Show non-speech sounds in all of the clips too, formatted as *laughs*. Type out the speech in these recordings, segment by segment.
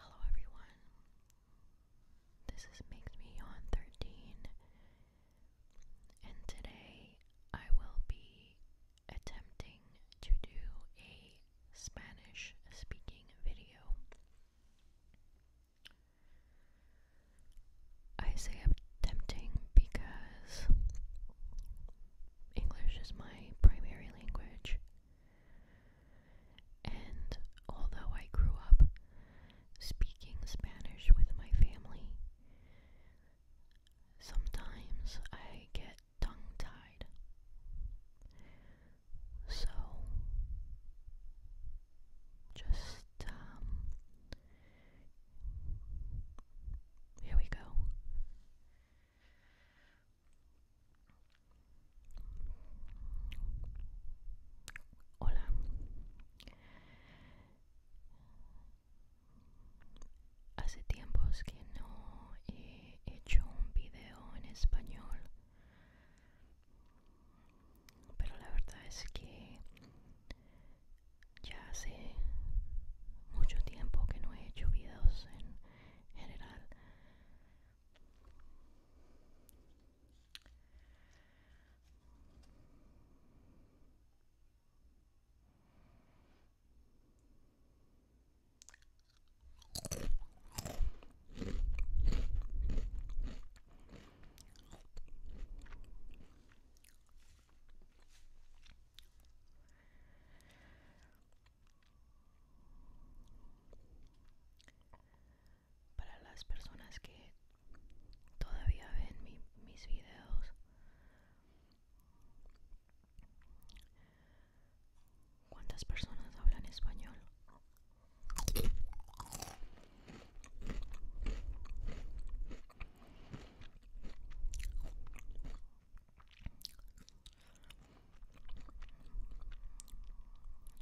Hello, everyone. This is Makes Me On 13, and today I will be attempting to do a Spanish speaking video. I say I'm tempting because English is my primary language. And although I grew up speaking Spanish with my family, sometimes I get tongue tied. So just um Here we go. Hola. Hace tiempos que no he hecho un video en español pero la verdad es que ya hace mucho tiempo que no he hecho videos en general para las personas que todavía ven mis videos, ¿cuántas personas hablan español?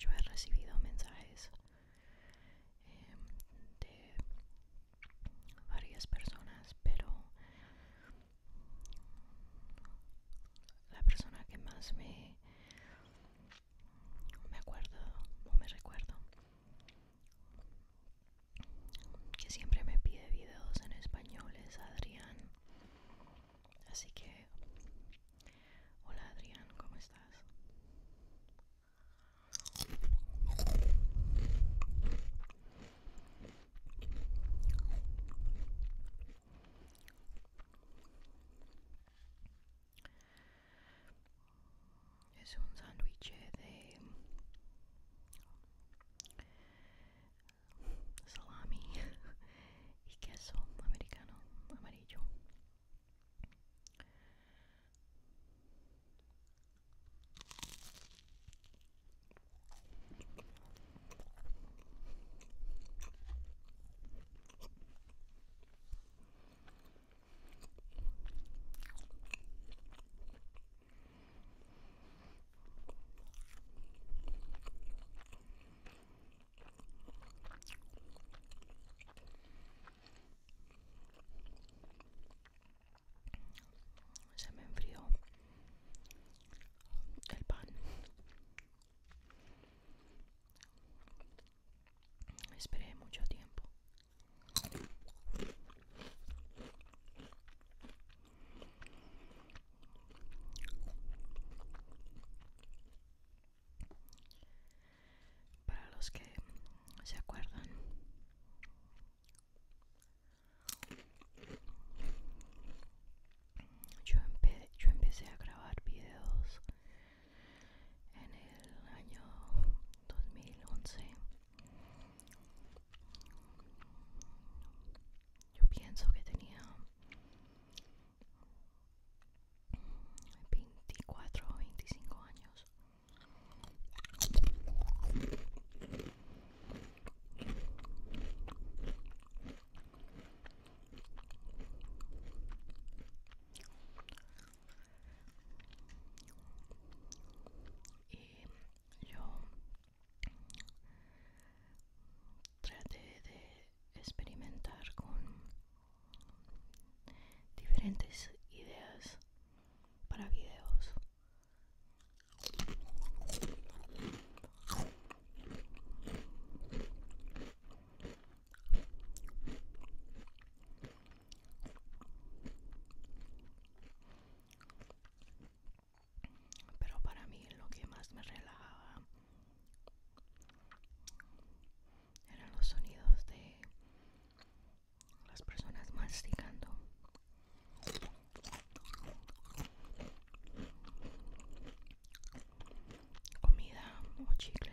Yo he recibido mensajes em, de varias personas, pero la persona que más me me acuerdo o me recuerdo que siempre me pide videos en español es Adrián. Así que, hola Adrián, ¿cómo estás? There's one sandwich here, salami *laughs* y queso americano amarillo. Se me enfrió el pan. Esperé mucho tiempo. Para los que se acuerdan, yo, yo empecé a grabar videos en el año 2011 yo pienso que tenía 24 o 25 años y yo traté de experimentar con diferentes ideas para videos pero para mí lo que más me relajaba eran los sonidos de las personas masticando. Comida o chicle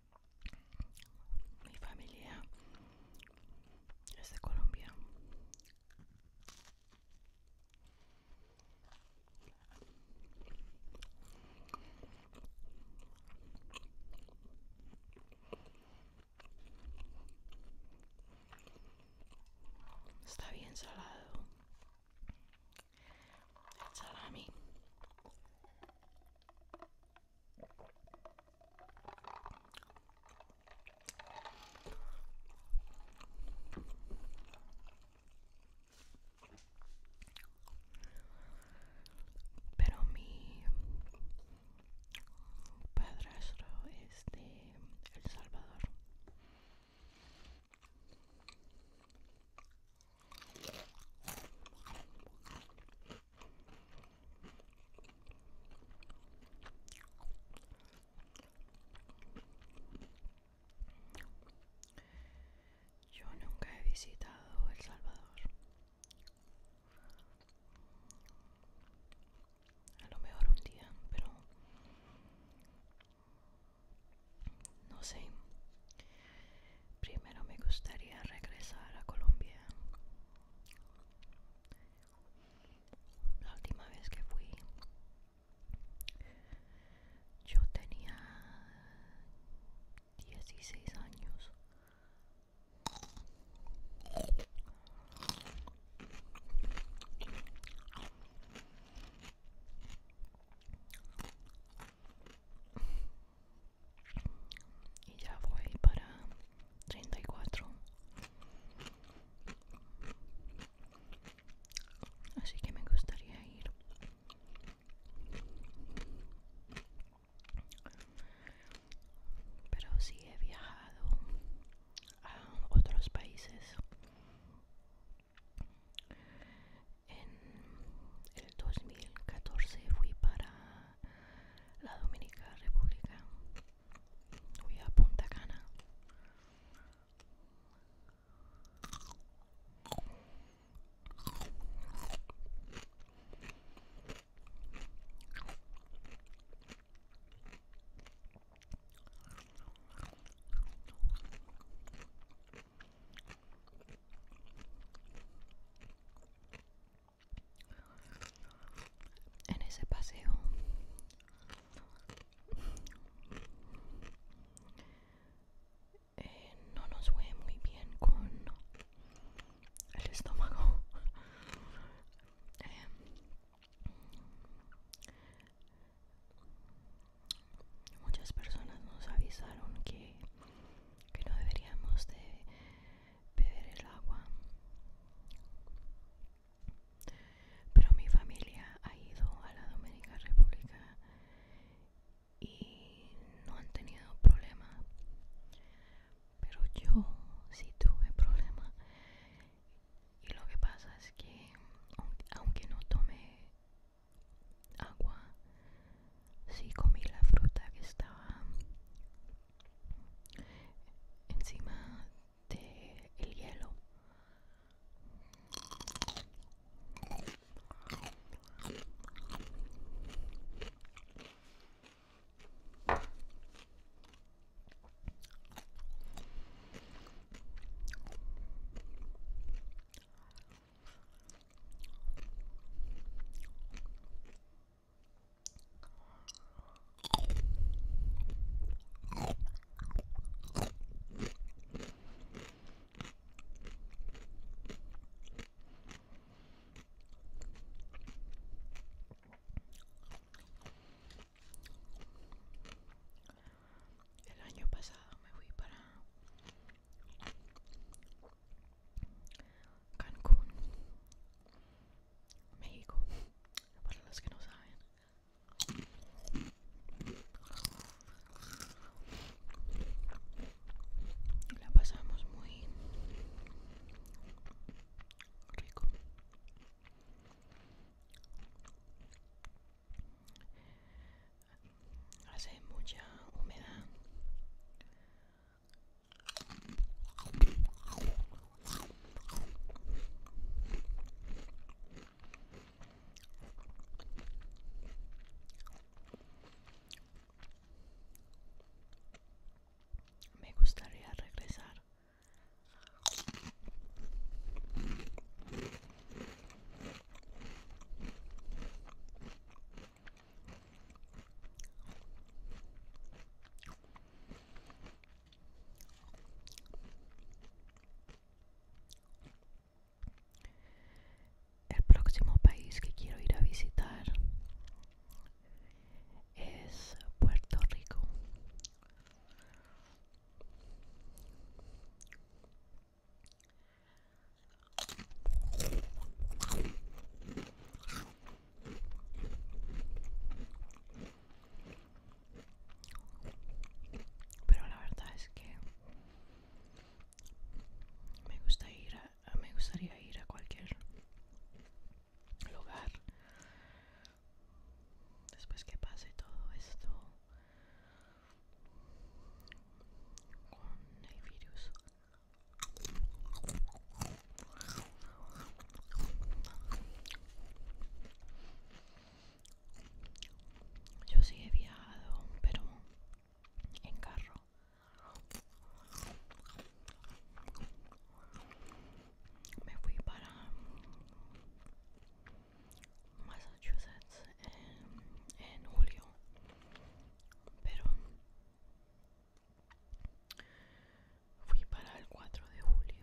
Mi familia es de Colombia. Está bien salado. salami. Pero mi padrastro es de El Salvador. Yo nunca he visitado El Salvador. A lo mejor un día, pero no sé. Primero me gustaría regresar a Colombia. La última vez que fui, yo tenía 16 años y ya voy para 34 así que me gustaría ir pero si sí he viajado a otros países en el 2014 fui para la Dominica República voy a Punta Cana en ese paseo eh, no nos fue muy bien con el estómago eh, muchas personas nos avisaron que que no deberíamos de beber el agua pero mi familia ha ido a la Dominica República y no han tenido problema pero yo sí tuve problema y lo que pasa es que aunque no tome agua sí comí la fruta que estaba encima del hielo el año pasado me fui para Cancún, México, para los que no saben. La pasamos muy rico hace mucha humedad me gustaría regresar el próximo país que quiero ir a visitar es Puerto Rico. Pero la verdad es que me gusta ir a, me gustaría ir a cualquier lugar después que pase todo esto con yo sí he viajado pero en carro me fui para Massachusetts en, julio pero fui para el 4 de julio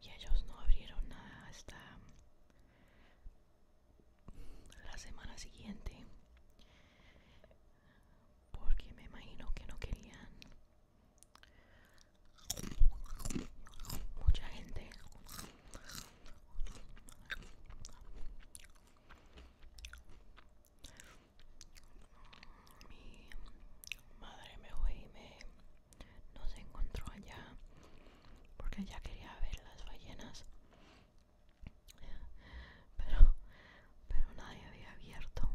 y ellos no abrieron nada hasta la semana siguiente porque me imagino que no querían mucha gente mi madre me fue y me no se encontró allá porque ya quería ver las ballenas pero pero nadie había abierto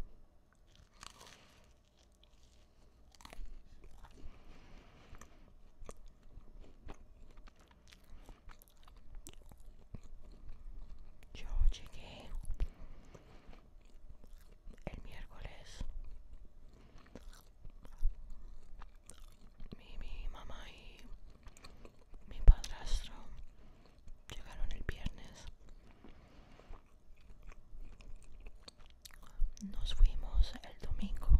yo llegué el miércoles. Mi, mamá y mi padrastro llegaron el viernes nos fuimos el domingo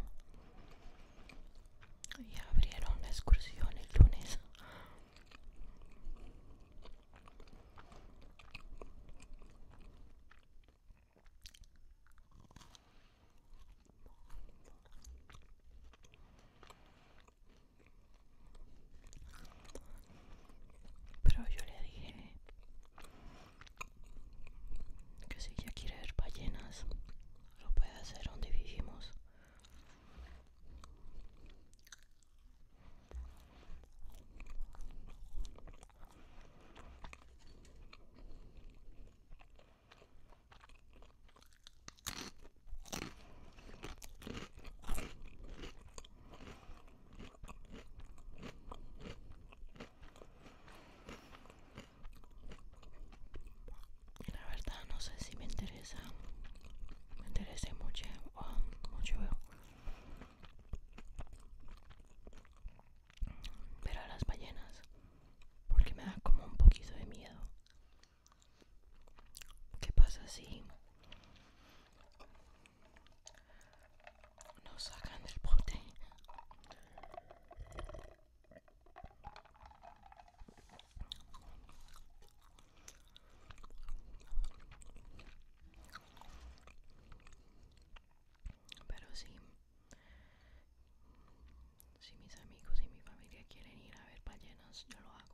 y abrieron la excursión el lunes pero yo le dije que si ya quiere ver ballenas lo puede hacer donde vivimos la verdad no sé si me interesa. Me interesa mucho. Ah, mucho ver a las ballenas. Porque me da como un poquito de miedo. ¿Qué pasa si no sacan del bote pero sí si mis amigos y mi familia quieren ir a ver ballenas yo lo hago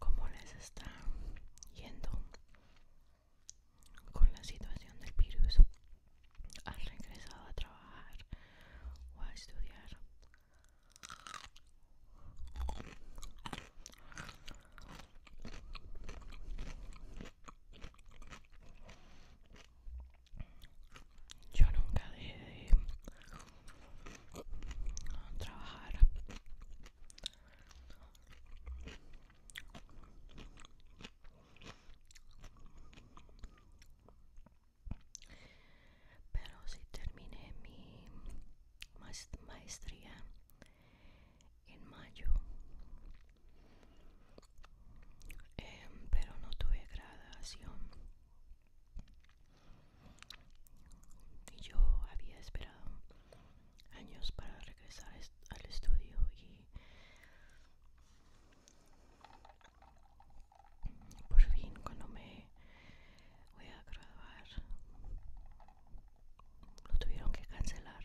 cómo les está yendo con la situación del virus. ¿Han regresado a trabajar o a estudiar? Yo nunca dejé de trabajar pero si terminé mi maestría en mayo, em, pero no tuve graduación y yo había esperado años para regresar al estudio y por fin cuando me voy a graduar lo tuvieron que cancelar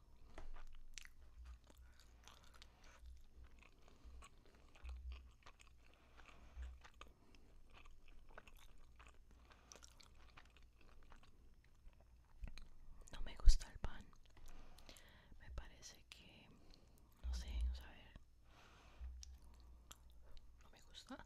No me gusta el pan. Me parece que no sé, no saber. No me gusta.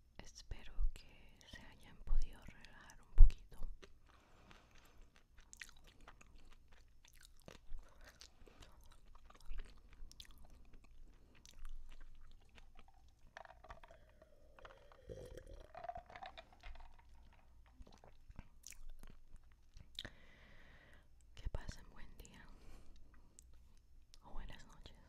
espero que se hayan podido relajar un poquito que pasen buen día o buenas noches